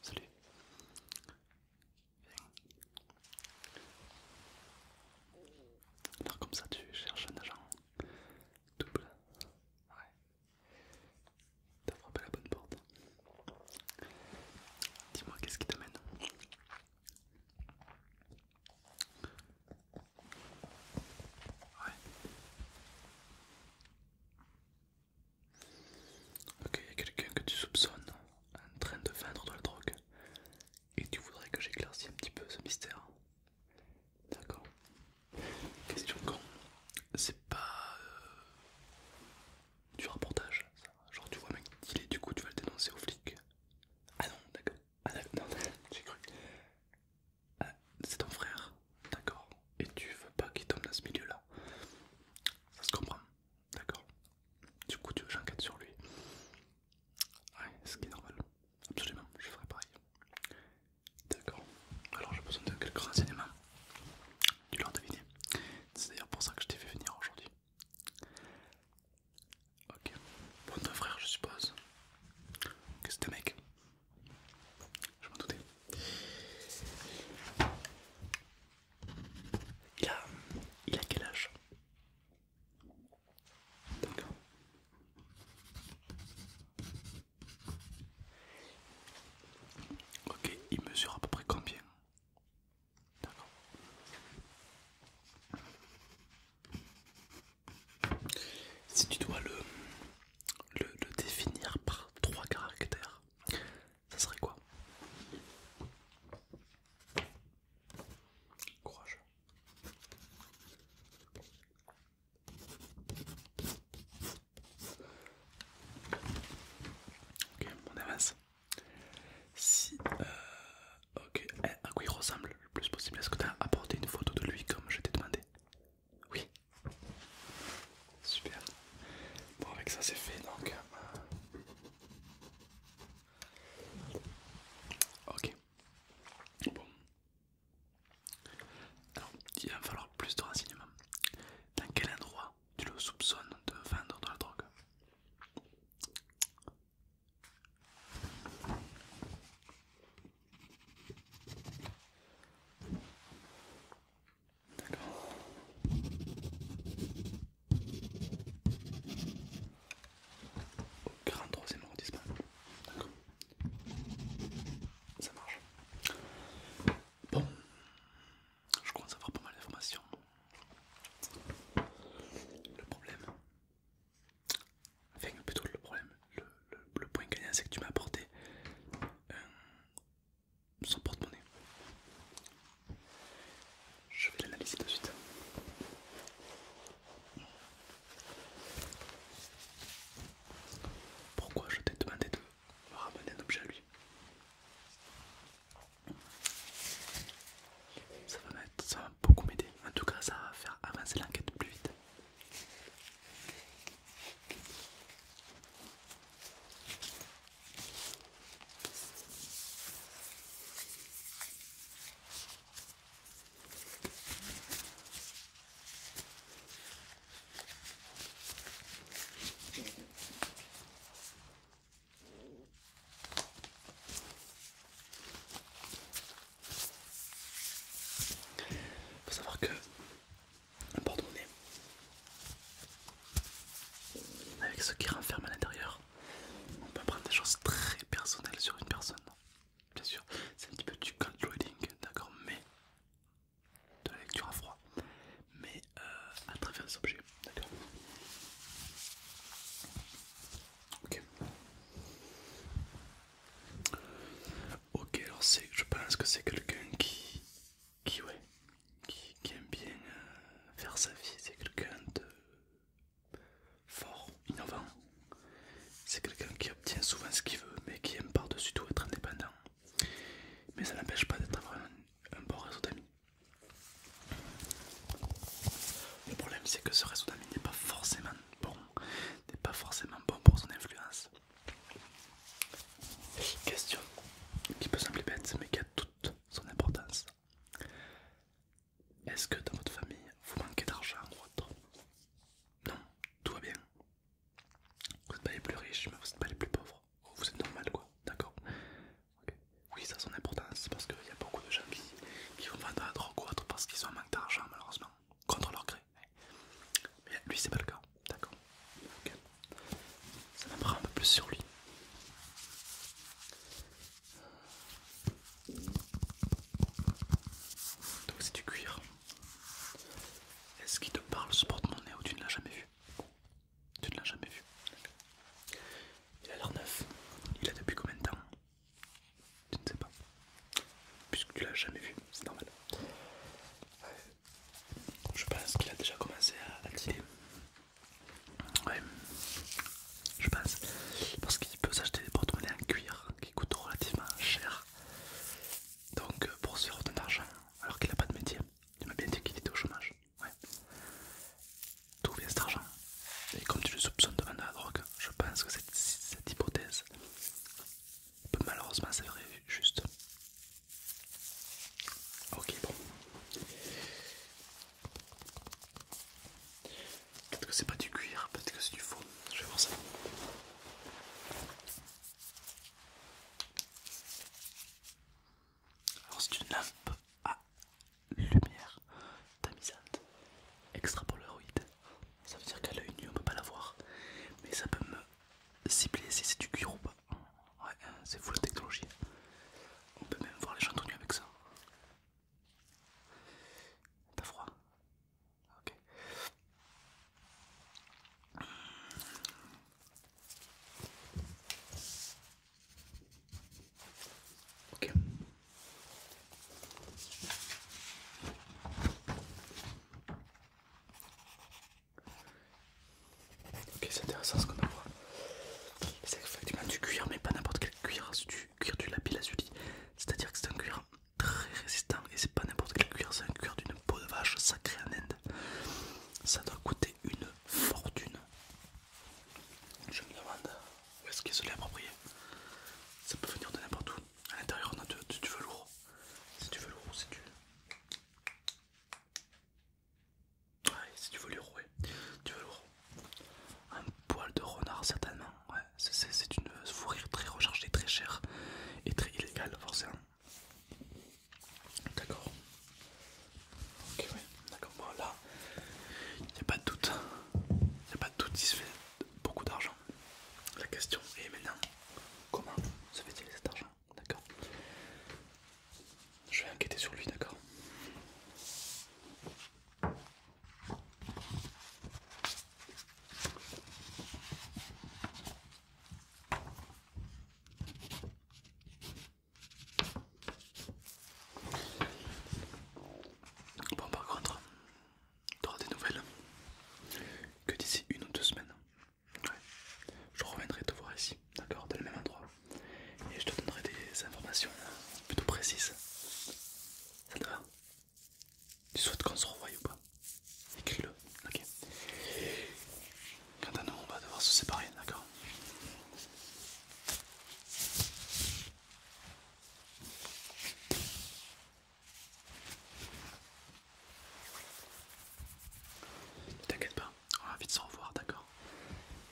Salut. Alors comme ça tu cherches un agent double. Ouais. T'as frappé la bonne porte. Dis-moi qu'est-ce qui t'amène Ok, il y a quelqu'un que tu soupçonnes en train de vendre de la drogue et tu voudrais que j'éclaircis un petit peu ce mystère. D'accord. Question con, c'est pas euh, du reportage, Genre, tu vois, mec, il est du coup, tu vas le dénoncer au flic Ah non, d'accord. Ah non, j'ai cru. Ah, c'est ton frère, d'accord. Et tu veux pas qu'il tombe dans ce milieu-là. Ça se comprend, d'accord. Du coup, tu veux j'enquête sur lui. Ouais, ce qui est normal. Absolument, je ferai pareil. D'accord. Alors, j'ai besoin de quelques renseignements. Tu l'as deviné. C'est d'ailleurs pour ça que je t'ai fait venir aujourd'hui. Ok, bon frère je suppose que c'est un mec. Je m'en doutais. Il a, quel âge Ok, il mesure à peu près combien si tu dois le, le, définir par trois caractères, ça serait quoi Courage. Ok, on avance. Si. Euh, ok, eh, à quoi il ressemble le plus possible Est-ce que tu as apporté une photo de lui comme je t'ai demandé Oui. Super. Bon, avec ça, c'est fait donc. Euh. Ok. Bon. Alors, il va falloir plus de renseignements. Dans quel endroit tu le soupçonnes de vendre de la drogue. D'accord. Au grand troisième arrondissement. D'accord. Ça marche. Bon. Je commence à avoir pas mal d'informations. Le problème, enfin plutôt le problème, le, point gagnant c'est que tu m'as apporté son porte-monnaie. Je vais l'analyser tout de suite. Pourquoi je t'ai demandé de ramener un objet à lui ça va, ça beaucoup m'aider. En tout cas, ça va faire avancer l'enquête plus vite. Faut savoir que un porte-monnaie avec ce qui renferme à l'intérieur, on peut prendre des choses très personnelles sur une personne. Bien sûr, c'est un petit peu du cold d'accord, mais de la lecture à froid, mais euh, à travers des objets, d'accord Ok. Ok, alors je pense que c'est quelqu'un qui, qui, ouais, qui, aime bien euh, faire sa vie, c'est quelqu'un de fort, innovant. C'est quelqu'un qui obtient souvent ce qu'il veut, mais qui aime par-dessus tout être indépendant. Mais ça n'empêche pas d'être un bon réseau d'amis. Le problème c'est que ce réseau d'amis n'est pas forcément bon, n'est pas forcément bon pour son influence. Question qui peut sembler bête mais qui a toute son importance. Est-ce que dans votre famille vous manquez d'argent ou autre Non, tout va bien. Vous n'êtes pas les plus riches mais vous n'êtes pas les plus pauvres. Oh, vous êtes normal quoi, d'accord Oui, ça a son importance parce qu'il y a beaucoup de gens qui, vont vendre de la drogue ou autre parce qu'ils ont un manque d'argent malheureusement, contre leur gré. Mais lui, c'est pas le cas, d'accord Ça m'apprend un peu plus sur lui. Donc c'est du cuir. Est-ce qu'il te parle ce porte-monnaie ou tu ne l'as jamais vu tu ne l'as jamais vu. Il a l'air neuf. Il a depuis combien de temps Tu ne sais pas. Puisque tu l'as jamais vu, c'est normal. Je pense qu'il a déjà commencé à tirer Ouais, je pense. Parce qu'il peut s'acheter des bottes en cuir qui coûtent relativement cher. Donc euh, pour se faire de l'argent alors qu'il n'a pas de métier, tu m'as bien dit qu'il était au chômage. Ouais. D'où vient cet argent Et comme tu le soupçonnes de vendre la drogue, je pense que cette, cette hypothèse peut malheureusement s'avérer juste. Ok, bon. Peut-être que c'est pas du cuir, peut-être que c'est du faux. Je vais voir ça. Alors c'est une lampe à lumière tamisante extra polaroid. Ça veut dire qu'à l'œil nu on peut pas la voir, mais ça peut me cibler si c'est du cuir ou pas. Ouais, c'est fou la technologie. On peut même voir les gens tout avec ça. T'as froid Ok. Ok. Ok, c'est intéressant ce qu'on a C'est effectivement du cuir, mais pas n'importe quel cuir, c'est du cuir du lapis lazuli. C'est-à-dire que c'est un cuir très résistant et c'est pas n'importe quel cuir, c'est un cuir d'une peau de vache sacrée en Inde. Ça doit coûter une fortune. Je me demande où est-ce qu'il se l'est approprié. Ça peut venir de n'importe où. À l'intérieur, on a du, velours. C'est du velours, c'est du. Ouais, velours, Un poil de renard, certainement. Ouais, c'est une fourrure très recherchée, très chère et très illégale, forcément. D'accord. Ok, ouais, d'accord. Bon, là, il n'y a pas de doute. Il n'y a pas de doute, il se fait beaucoup d'argent. La question est maintenant, comment se fait-il cet argent D'accord. Je vais enquêter sur lui, d'accord Bon par contre, tu auras des nouvelles que d'ici une ou deux semaines. Je reviendrai te voir ici, d'accord, dans le même endroit. Et je te donnerai des informations plutôt précises. Ça te va Tu souhaites qu'on se revoie ou pas Écris-le, ok. Quant à nous, on va devoir se séparer, d'accord t'inquiète pas, on va vite se revoir, d'accord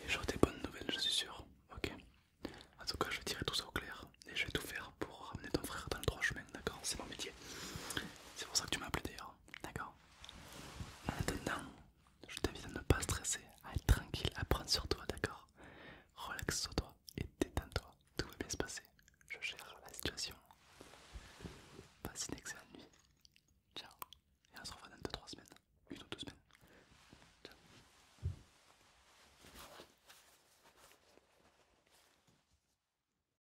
Et j'aurai des bonnes nouvelles, je suis sûr, ok En tout cas, je vais tirer tout ça au clair et je vais tout faire pour ramener ton frère dans le droit chemin, d'accord C'est mon métier. C'est pour ça que tu m'as appelé d'ailleurs d'accord En attendant, je t'invite à ne pas stresser, à être tranquille, à prendre sur toi, d'accord Relaxe sur toi et détends-toi, tout va bien se passer. Je gère la situation. Passe une excellente nuit. Ciao. Et on se revoit dans 2-3 semaines. Une ou deux semaines. Ciao.